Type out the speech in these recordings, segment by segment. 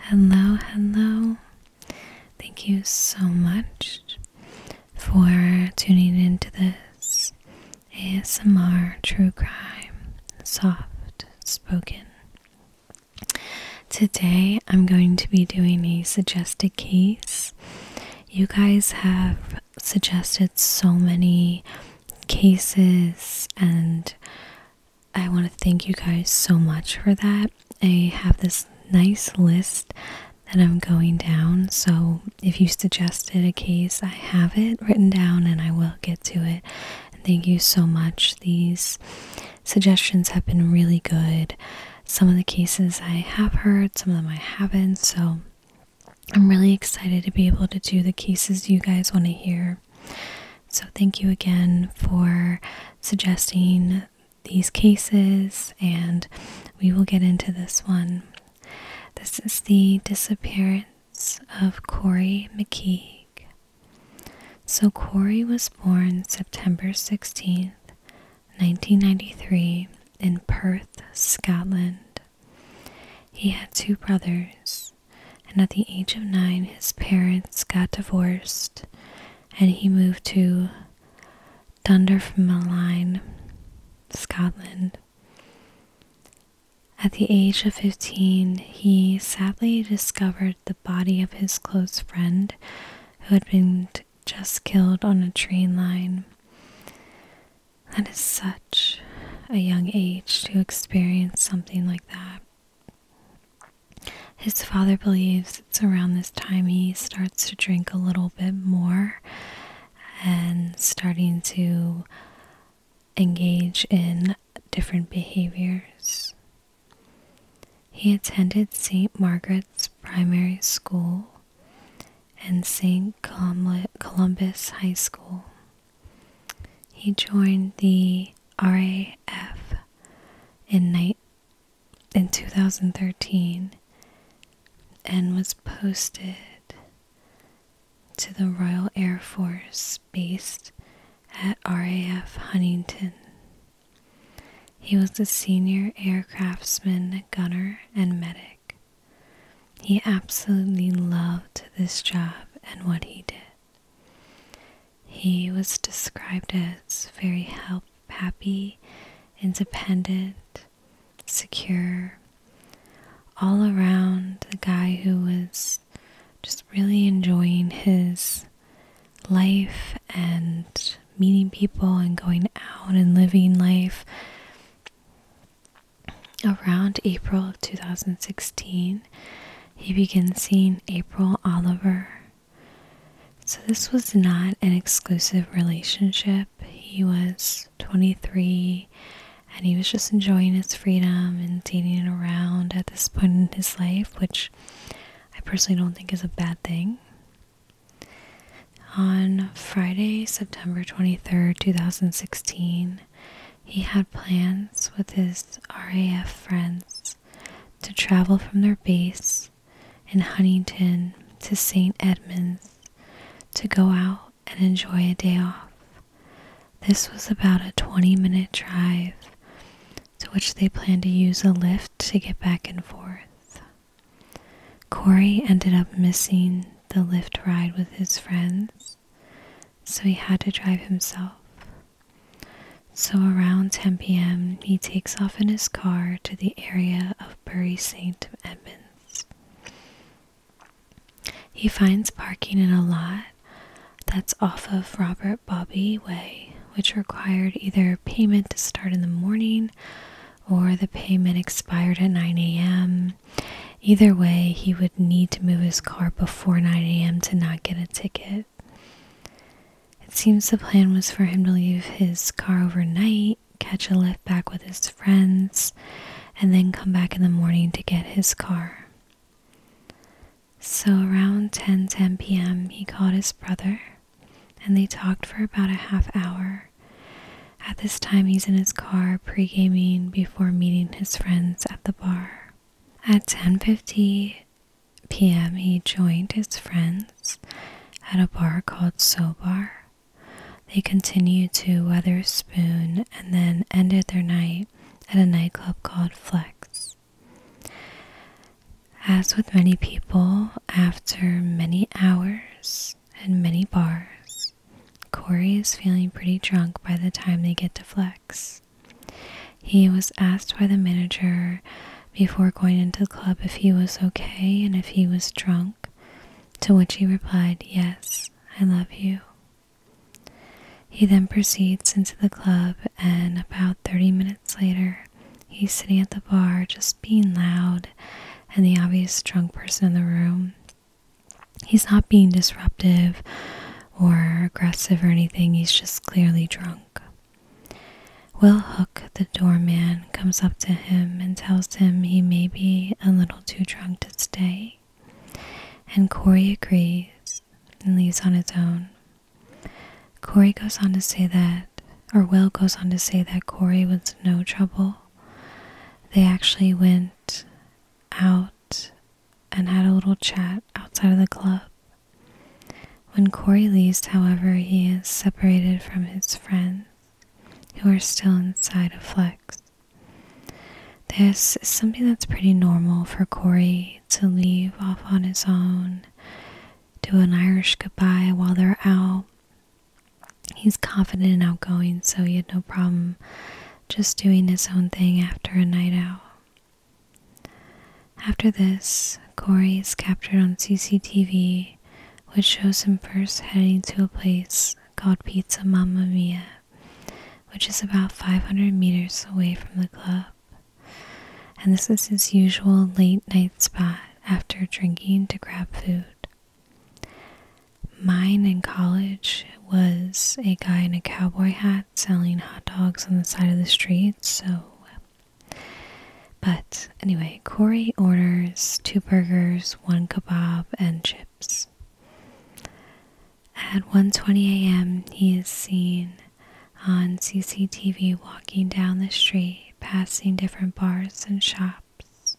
Hello, hello. Thank you so much for tuning into this ASMR True Crime Soft Spoken. Today I'm going to be doing a suggested case. You guys have suggested so many cases and I want to thank you guys so much for that. I have this nice list that I'm going down, so if you suggested a case, I have it written down and I will get to it. And thank you so much. These suggestions have been really good. Some of the cases I have heard, some of them I haven't, so I'm really excited to be able to do the cases you guys want to hear. So, thank you again for suggesting these cases, and we will get into this one. This is the disappearance of Corey McKeague. So, Corey was born September 16th, 1993, in Perth, Scotland. He had two brothers, and at the age of nine, his parents got divorced and he moved to line, Scotland. At the age of 15, he sadly discovered the body of his close friend who had been just killed on a train line. That is such a young age to experience something like that. His father believes it's around this time he starts to drink a little bit more and starting to engage in different behaviors. He attended St. Margaret's Primary School and St. Columbus High School. He joined the RAF in night in 2013 and was posted to the Royal Air Force based at RAF Huntington. He was a senior aircraftsman, gunner, and medic. He absolutely loved this job and what he did. He was described as very help, happy, independent, secure, all around the guy who was just really enjoying his life and meeting people and going out and living life. Around April of 2016, he begins seeing April Oliver so, this was not an exclusive relationship. He was 23 and he was just enjoying his freedom and dating around at this point in his life, which I personally don't think is a bad thing. On Friday, September 23, 2016, he had plans with his RAF friends to travel from their base in Huntington to St. Edmunds to go out and enjoy a day off. This was about a 20 minute drive, to which they planned to use a lift to get back and forth. Corey ended up missing the lift ride with his friends, so he had to drive himself. So around 10 pm, he takes off in his car to the area of Bury St. Edmunds. He finds parking in a lot that's off of Robert Bobby Way, which required either payment to start in the morning or the payment expired at 9 a.m. Either way, he would need to move his car before 9 a.m. to not get a ticket it. seems the plan was for him to leave his car overnight, catch a lift back with his friends, and then come back in the morning to get his car. So around ten ten p.m., he called his brother and they talked for about a half hour. At this time, he's in his car pre gaming before meeting his friends at the bar. At 10:50, p.m., he joined his friends at a bar called Sobar. They continued to Weatherspoon and then ended their night at a nightclub called Flex. As with many people, after many hours and many bars, Corey is feeling pretty drunk by the time they get to Flex. He was asked by the manager before going into the club if he was okay and if he was drunk, to which he replied, Yes, I love you. He then proceeds into the club, and about 30 minutes later, he's sitting at the bar just being loud and the obvious drunk person in the room. He's not being disruptive or aggressive or anything, he's just clearly drunk. Will Hook, the doorman, comes up to him and tells him he may be a little too drunk to stay, and Corey agrees and leaves on his own. Corey goes on to say that, or Will goes on to say that Corey was no trouble. They actually went out and had a little chat outside of the club when Corey leaves, however, he is separated from his friends, who are still inside of Flex. This is something that's pretty normal for Corey to leave off on his own, do an Irish goodbye while they're out. He's confident and outgoing, so he had no problem just doing his own thing after a night out. After this, Corey is captured on CCTV, which shows him first heading to a place called Pizza Mamma Mia, which is about 500 meters away from the club. And this is his usual late night spot after drinking to grab food. Mine in college was a guy in a cowboy hat selling hot dogs on the side of the street, so. But anyway, Corey orders two burgers, one kebab, and chips. At 1:20 a.m., he is seen on CCTV walking down the street, passing different bars and shops,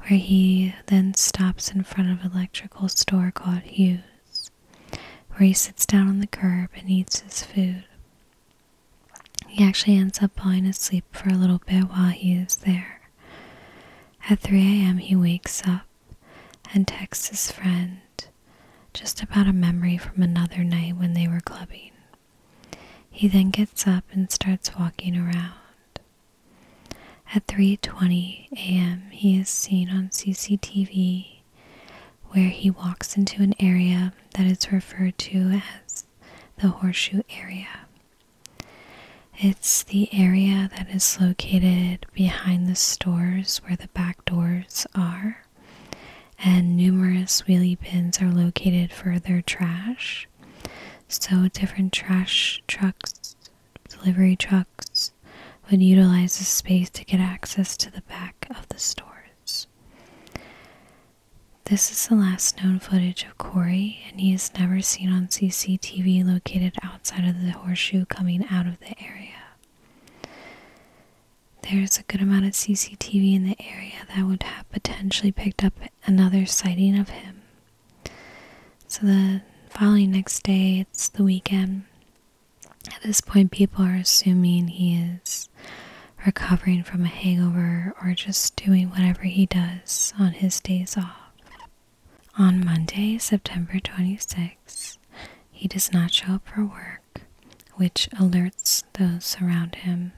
where he then stops in front of an electrical store called Hughes, where he sits down on the curb and eats his food. He actually ends up falling asleep for a little bit while he is there. At 3 a.m., he wakes up and texts his friend just about a memory from another night when they were clubbing. He then gets up and starts walking around. At 3:20 a.m., he is seen on CCTV where he walks into an area that is referred to as the Horseshoe Area. It's the area that is located behind the stores where the back doors are, and numerous wheelie bins are located for their trash. So, different trash trucks, delivery trucks, would utilize this space to get access to the back of the stores. This is the last known footage of Corey, and he is never seen on CCTV located outside of the horseshoe coming out of the area. There's a good amount of CCTV in the area that would have potentially picked up another sighting of him. So the following next day, it's the weekend, at this point, people are assuming he is recovering from a hangover or just doing whatever he does on his days off. On Monday, September 26, he does not show up for work, which alerts those around him.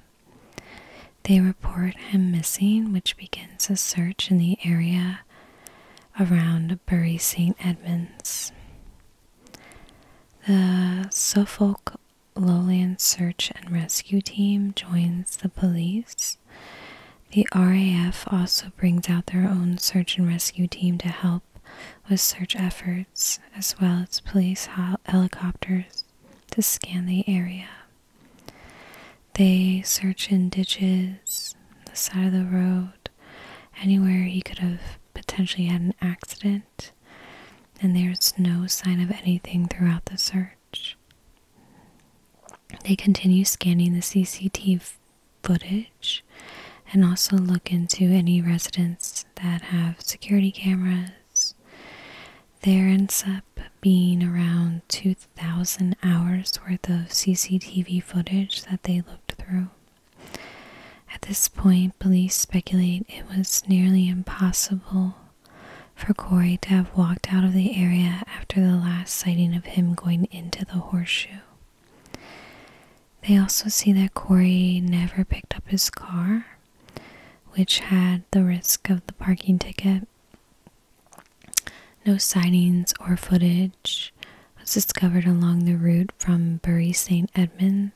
They report him missing, which begins a search in the area around Bury St. Edmunds. The Suffolk Lowland Search and Rescue Team joins the police. The RAF also brings out their own search and rescue team to help with search efforts, as well as police helicopters to scan the area. They search in ditches, the side of the road, anywhere he could have potentially had an accident and there's no sign of anything throughout the search. They continue scanning the CCTV footage and also look into any residents that have security cameras. There ends up being around 2,000 hours worth of CCTV footage that they looked through. At this point, police speculate it was nearly impossible for Corey to have walked out of the area after the last sighting of him going into the horseshoe. They also see that Corey never picked up his car, which had the risk of the parking ticket. No sightings or footage was discovered along the route from Bury St. Edmunds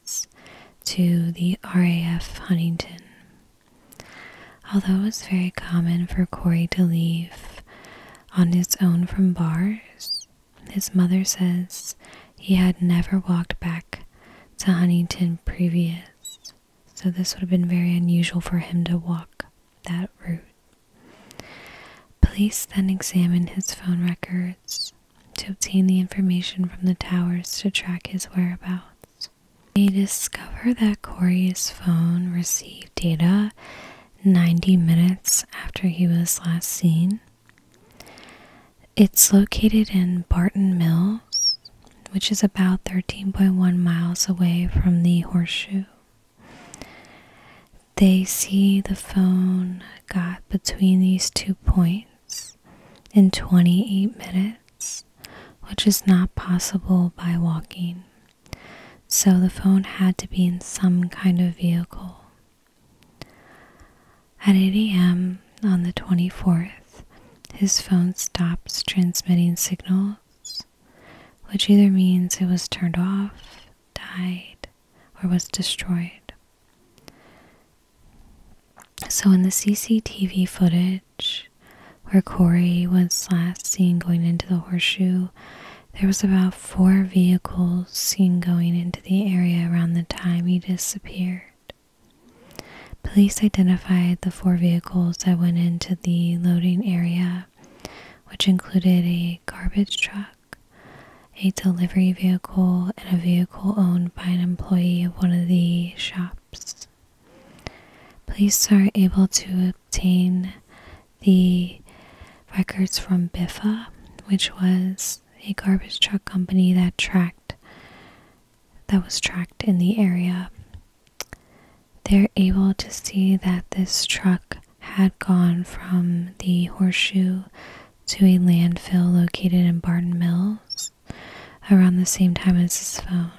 to the RAF Huntington. Although it was very common for Corey to leave on his own from bars, his mother says he had never walked back to Huntington previous, so this would have been very unusual for him to walk that route. Police then examined his phone records to obtain the information from the towers to track his whereabouts. They discover that Corey's phone received data 90 minutes after he was last seen. It's located in Barton Mills, which is about 13.1 miles away from the horseshoe. They see the phone got between these two points in 28 minutes, which is not possible by walking. So the phone had to be in some kind of vehicle. At 8 a.m. on the 24th, his phone stops transmitting signals, which either means it was turned off, died, or was destroyed. So, in the CCTV footage where Corey was last seen going into the horseshoe, there was about four vehicles seen going into the area around the time he disappeared. Police identified the four vehicles that went into the loading area, which included a garbage truck, a delivery vehicle, and a vehicle owned by an employee of one of the shops. Police are able to obtain the records from Biffa, which was a garbage truck company that tracked that was tracked in the area. They're able to see that this truck had gone from the horseshoe to a landfill located in Barton Mills around the same time as his phone.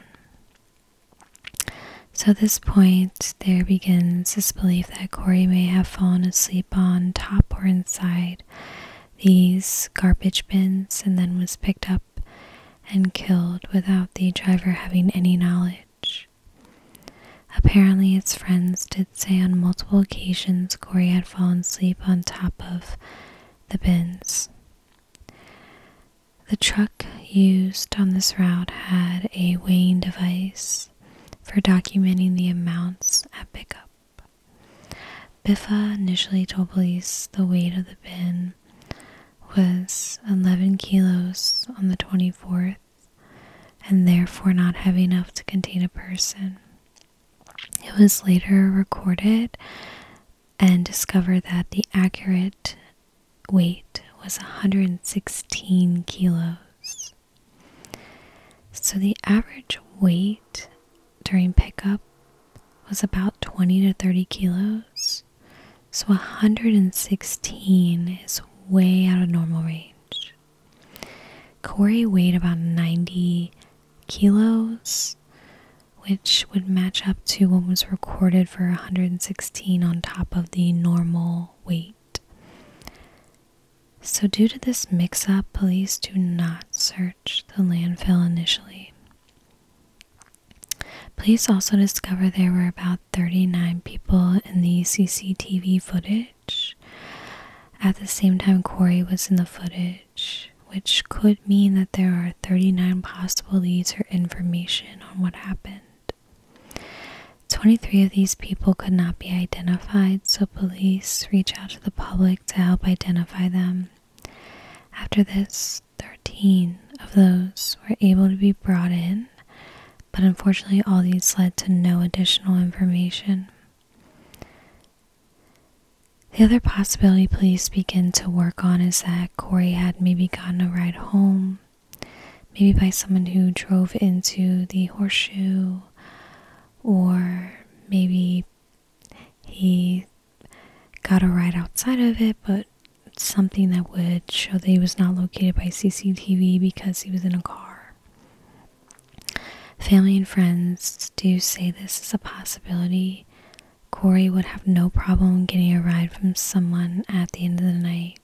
So, at this point, there begins this belief that Corey may have fallen asleep on top or inside these garbage bins and then was picked up and killed without the driver having any knowledge. Apparently, his friends did say on multiple occasions Corey had fallen asleep on top of the bins. The truck used on this route had a weighing device for documenting the amounts at pickup. Biffa initially told police the weight of the bin was 11 kilos on the 24th and therefore not heavy enough to contain a person. It was later recorded and discovered that the accurate weight was 116 kilos. So the average weight during pickup was about 20 to 30 kilos. So 116 is way out of normal range. Corey weighed about 90 kilos, which would match up to what was recorded for 116 on top of the normal weight. So, due to this mix up, police do not search the landfill initially. Police also discover there were about 39 people in the CCTV footage. At the same time, Corey was in the footage which could mean that there are 39 possible leads or information on what happened. 23 of these people could not be identified, so police reach out to the public to help identify them. After this, 13 of those were able to be brought in, but unfortunately, all these led to no additional information. The other possibility police begin to work on is that Corey had maybe gotten a ride home, maybe by someone who drove into the horseshoe, or maybe he got a ride outside of it, but something that would show that he was not located by CCTV because he was in a car. Family and friends do say this is a possibility. Corey would have no problem getting a ride from someone at the end of the night,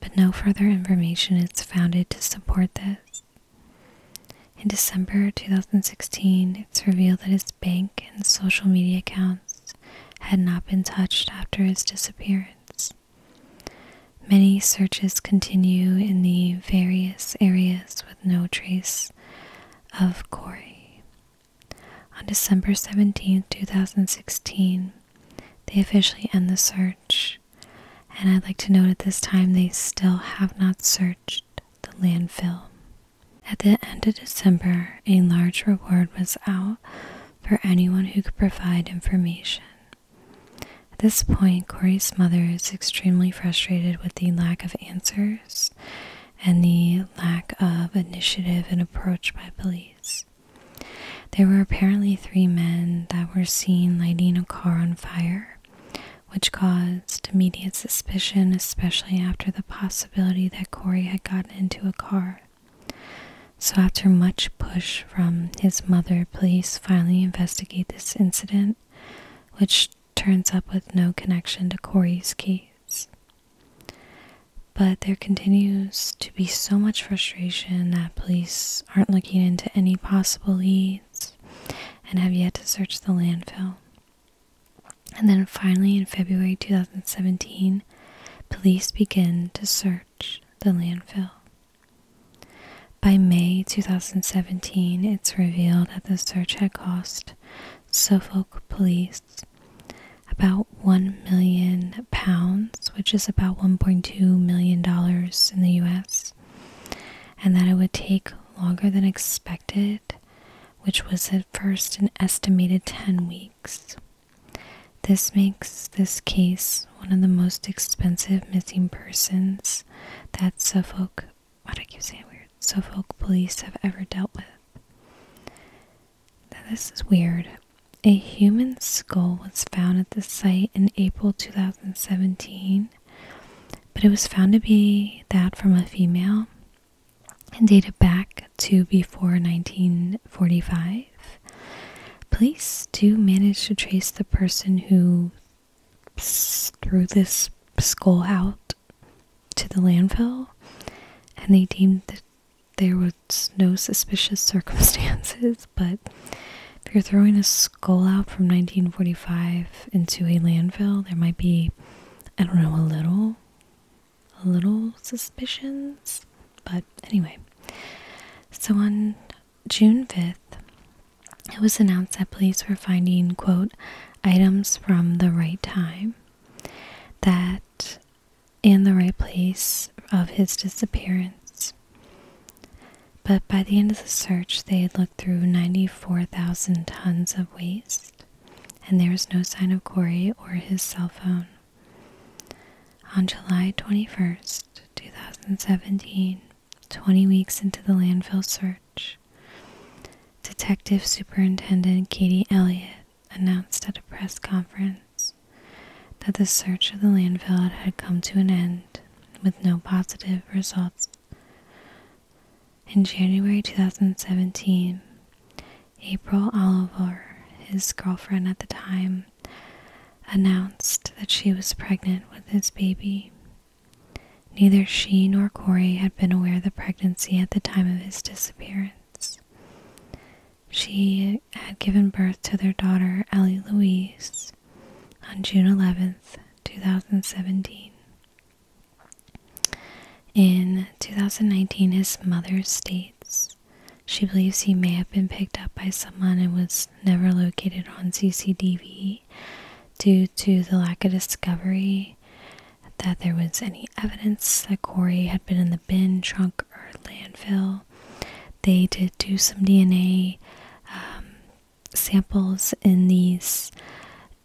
but no further information is founded to support this. In December 2016, it's revealed that his bank and social media accounts had not been touched after his disappearance. Many searches continue in the various areas with no trace of Corey. On December seventeenth, two 2016, they officially end the search, and I'd like to note at this time they still have not searched the landfill. At the end of December, a large reward was out for anyone who could provide information. At this point, Corey's mother is extremely frustrated with the lack of answers and the lack of initiative and approach by police. There were apparently three men that were seen lighting a car on fire, which caused immediate suspicion, especially after the possibility that Corey had gotten into a car. So, after much push from his mother, police finally investigate this incident, which turns up with no connection to Corey's case. But there continues to be so much frustration that police aren't looking into any possible leads and have yet to search the landfill. And then finally, in February 2017, police begin to search the landfill. By May 2017, it's revealed that the search had cost Suffolk police about 1 million pounds, which is about 1.2 million dollars in the US, and that it would take longer than expected, which was at first an estimated 10 weeks. This makes this case one of the most expensive missing persons that Suffolk why do I keep saying weird? folk police have ever dealt with. this is weird. A human skull was found at the site in April 2017, but it was found to be that from a female and dated back to before 1945. Police do manage to trace the person who threw this skull out to the landfill, and they deemed that there was no suspicious circumstances. But if you're throwing a skull out from 1945 into a landfill, there might be, I don't know, a little, little suspicions. But anyway, so on June 5th, it was announced that police were finding, quote, items from the right time that in the right place of his disappearance. But by the end of the search, they had looked through 94,000 tons of waste, and there was no sign of Corey or his cell phone. On July 21st, 2017, 20 weeks into the landfill search, Detective Superintendent Katie Elliott announced at a press conference that the search of the landfill had come to an end with no positive results. In January 2017, April Oliver, his girlfriend at the time, announced that she was pregnant with his baby Neither she nor Corey had been aware of the pregnancy at the time of his disappearance. She had given birth to their daughter, Ellie Louise, on June 11, 2017. In 2019, his mother states she believes he may have been picked up by someone and was never located on CCTV due to the lack of discovery that there was any evidence that Corey had been in the bin, trunk, or landfill. They did do some DNA um, samples in these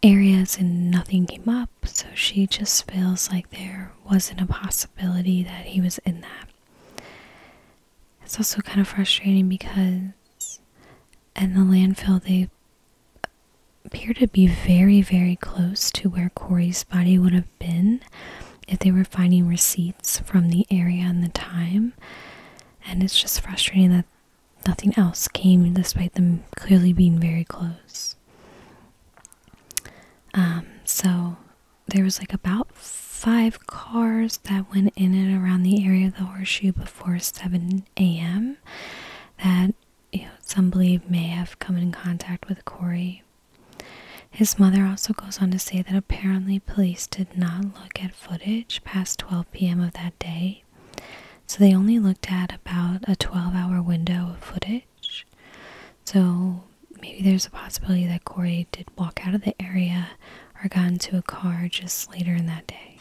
areas and nothing came up, so she just feels like there wasn't a possibility that he was in that. It's also kind of frustrating because in the landfill, they appear to be very, very close to where Corey's body would have been if they were finding receipts from the area and the time. And it's just frustrating that nothing else came despite them clearly being very close. Um, so there was like about five cars that went in and around the area of the horseshoe before 7 a.m that some believe may have come in contact with Corey. His mother also goes on to say that apparently police did not look at footage past 12 p.m. of that day, so they only looked at about a 12 hour window of footage. So maybe there's a possibility that Corey did walk out of the area or got into a car just later in that day.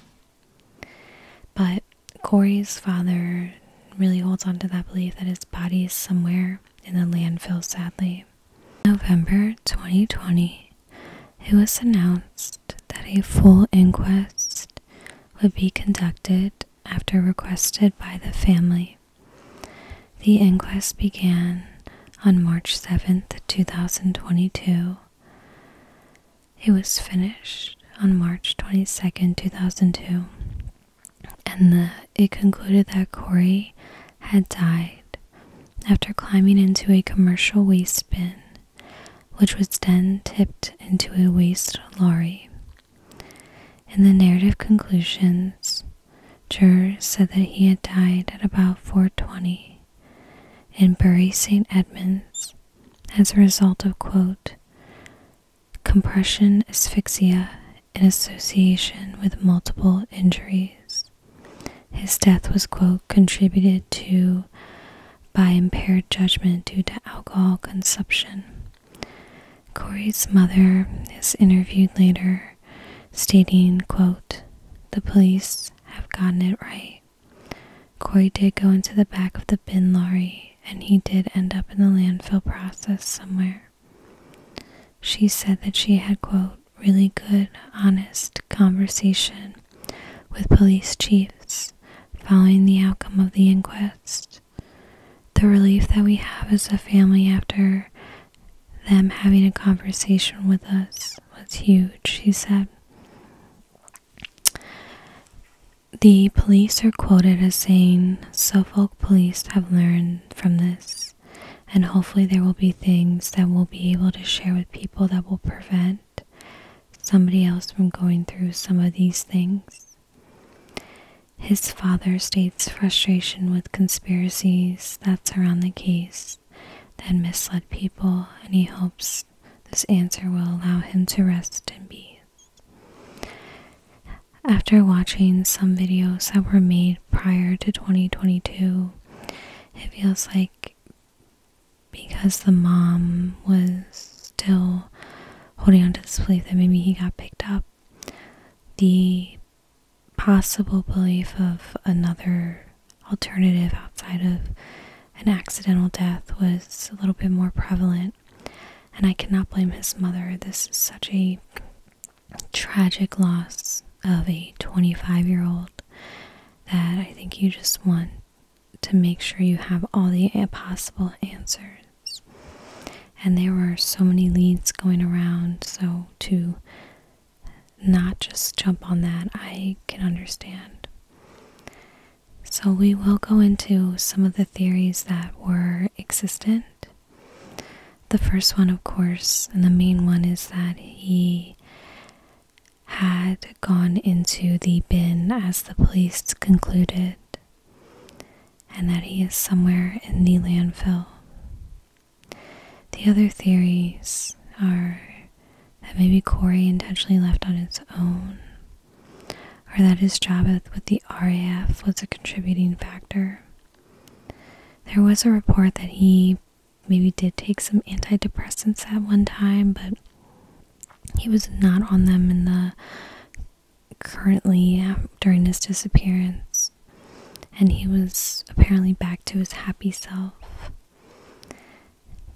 But Corey's father really holds on to that belief that his body is somewhere in the landfill, sadly. November 2020, it was announced that a full inquest would be conducted after requested by the family. The inquest began on March 7th, 2022. It was finished on March 22, 2002, and it concluded that Corey had died after climbing into a commercial waste bin, which was then tipped into a waste lorry. In the narrative conclusions, jurors said that he had died at about 420 in Bury St. Edmunds as a result of, quote, compression asphyxia in association with multiple injuries. His death was, quote, contributed to by impaired judgment due to alcohol consumption. Corey's mother is interviewed later, stating, quote, The police have gotten it right. Coy did go into the back of the bin lorry, and he did end up in the landfill process somewhere. She said that she had, quote, really good, honest conversation with police chiefs following the outcome of the inquest. The relief that we have as a family after them having a conversation with us was huge, she said. The police are quoted as saying, Suffolk police have learned from this, and hopefully there will be things that we'll be able to share with people that will prevent somebody else from going through some of these things. His father states frustration with conspiracies that surround the case that misled people, and he hopes this answer will allow him to rest and be. After watching some videos that were made prior to 2022, it feels like because the mom was still holding onto this belief that maybe he got picked up, the possible belief of another alternative outside of an accidental death was a little bit more prevalent. And I cannot blame his mother. This is such a tragic loss of a 25 year old that I think you just want to make sure you have all the possible answers. And there were so many leads going around, so to not just jump on that, I can understand. So, we will go into some of the theories that were existent. The first one, of course, and the main one is that he had gone into the bin as the police concluded, and that he is somewhere in the landfill. The other theories are that maybe Corey intentionally left on his own, or that his job with the RAF was a contributing factor. There was a report that he maybe did take some antidepressants at one time, but he was not on them in the currently uh, during his disappearance, and he was apparently back to his happy self.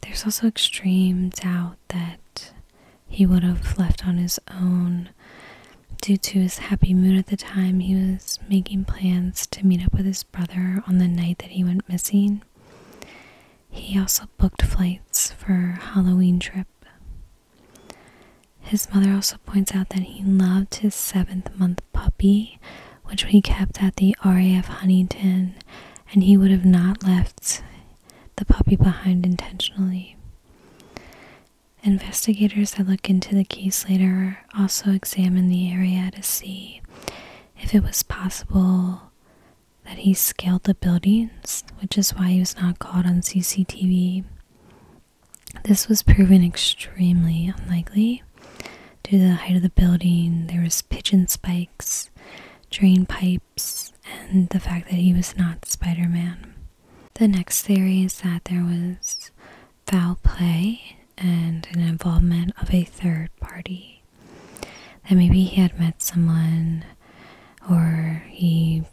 There's also extreme doubt that he would have left on his own. Due to his happy mood at the time, he was making plans to meet up with his brother on the night that he went missing. He also booked flights for Halloween trip. His mother also points out that he loved his seventh month puppy, which we kept at the RAF Huntington, and he would have not left the puppy behind intentionally. Investigators that look into the case later also examine the area to see if it was possible that he scaled the buildings, which is why he was not caught on CCTV. This was proven extremely unlikely due to the height of the building. There was pigeon spikes, drain pipes and the fact that he was not Spider Man. The next theory is that there was foul play and an involvement of a third party. That maybe he had met someone or he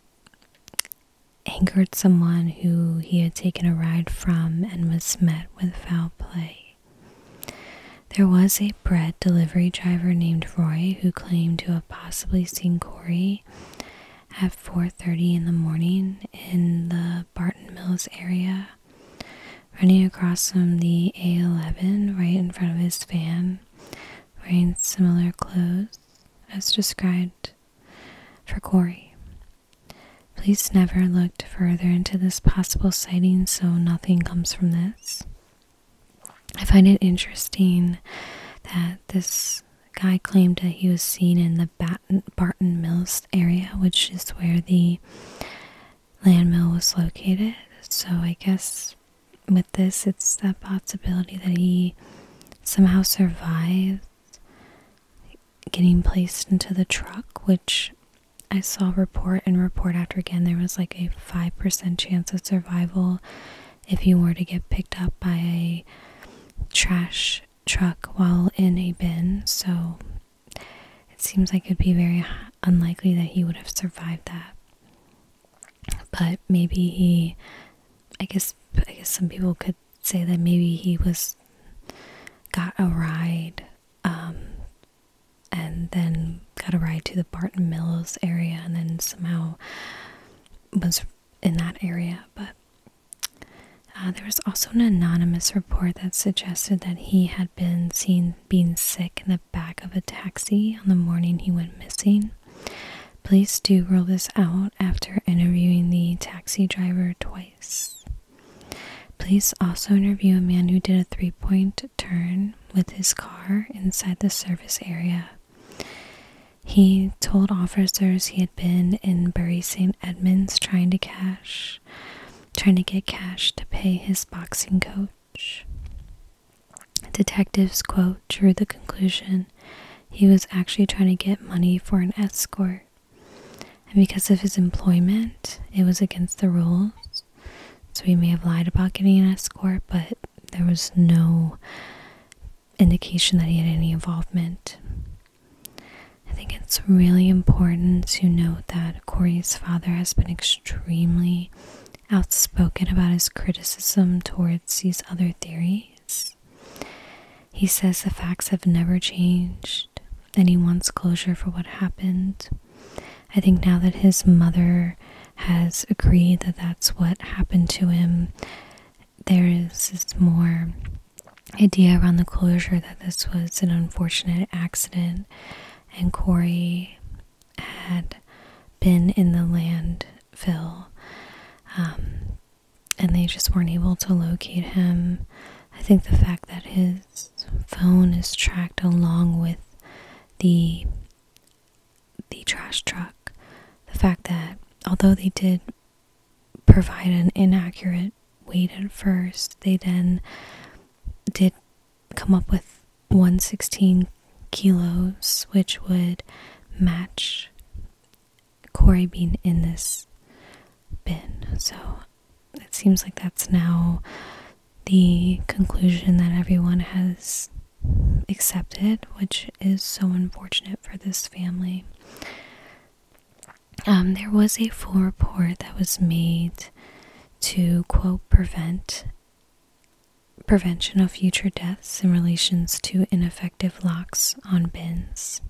angered someone who he had taken a ride from and was met with foul play. There was a bread delivery driver named Roy who claimed to have possibly seen Corey at 4:30 in the morning in the Barton Mills area, running across from the A11 right in front of his van, wearing similar clothes as described for Corey. Police never looked further into this possible sighting, so nothing comes from this. I find it interesting that this guy claimed that he was seen in the Barton Mills area, which is where the land mill was located. So I guess with this, it's that possibility that he somehow survived getting placed into the truck, which I saw report and report after again. There was like a 5% chance of survival if you were to get picked up by a trash truck while in a bin. So it seems like it'd be very unlikely that he would have survived that. But maybe he, I guess, I guess some people could say that maybe he was got a ride um, and then got a ride to the Barton Mills area, and then somehow was in that area. But uh, there was also an anonymous report that suggested that he had been seen being sick in the back of a taxi on the morning he went missing. Please do rule this out after interviewing the taxi driver twice. Please also interview a man who did a three point turn with his car inside the service area. He told officers he had been in Bury St. Edmunds trying to cash, trying to get cash to pay his boxing coach. Detectives, quote, drew the conclusion he was actually trying to get money for an escort. And because of his employment, it was against the rules so he may have lied about getting an escort, but there was no indication that he had any involvement. I think it's really important to note that Corey's father has been extremely outspoken about his criticism towards these other theories. He says the facts have never changed and he wants closure for what happened. I think now that his mother has agreed that that's what happened to him, there is this more idea around the closure that this was an unfortunate accident and Corey had been in the landfill. Um, and they just weren't able to locate him. I think the fact that his phone is tracked along with the the trash truck, the fact that although they did provide an inaccurate weight at first, they then did come up with 116 kilos, which would match Corey being in this bin. So it seems like that's now the conclusion that everyone has accepted, which is so unfortunate for this family. Um, there was a full report that was made to quote prevent prevention of future deaths in relations to ineffective locks on bins.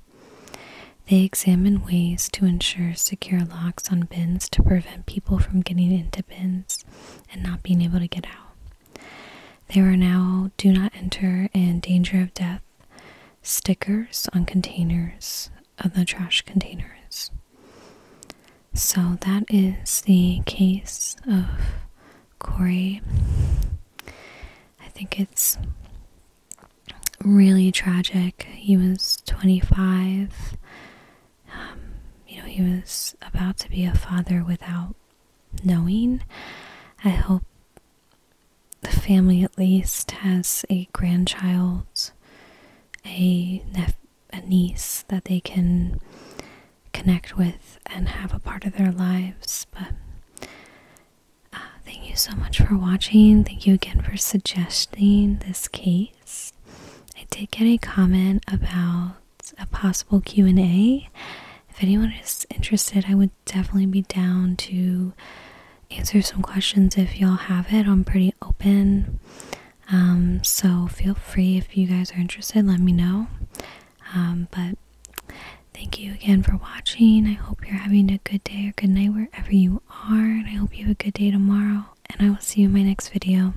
They examine ways to ensure secure locks on bins to prevent people from getting into bins and not being able to get out. There are now do not enter and danger of death stickers on containers of the trash containers. So that is the case of Corey. I think it's really tragic. He was 25 um, you know, he was about to be a father without knowing. I hope the family at least has a grandchild, a niece that they can connect with and have a part of their lives. But uh, thank you so much for watching. Thank you again for suggesting this case. I did get a comment about a possible Q&A. If anyone is interested, I would definitely be down to answer some questions if y'all have it. I'm pretty open. Um, so feel free if you guys are interested, let me know. Um, but thank you again for watching. I hope you're having a good day or good night wherever you are. And I hope you have a good day tomorrow. And I will see you in my next video.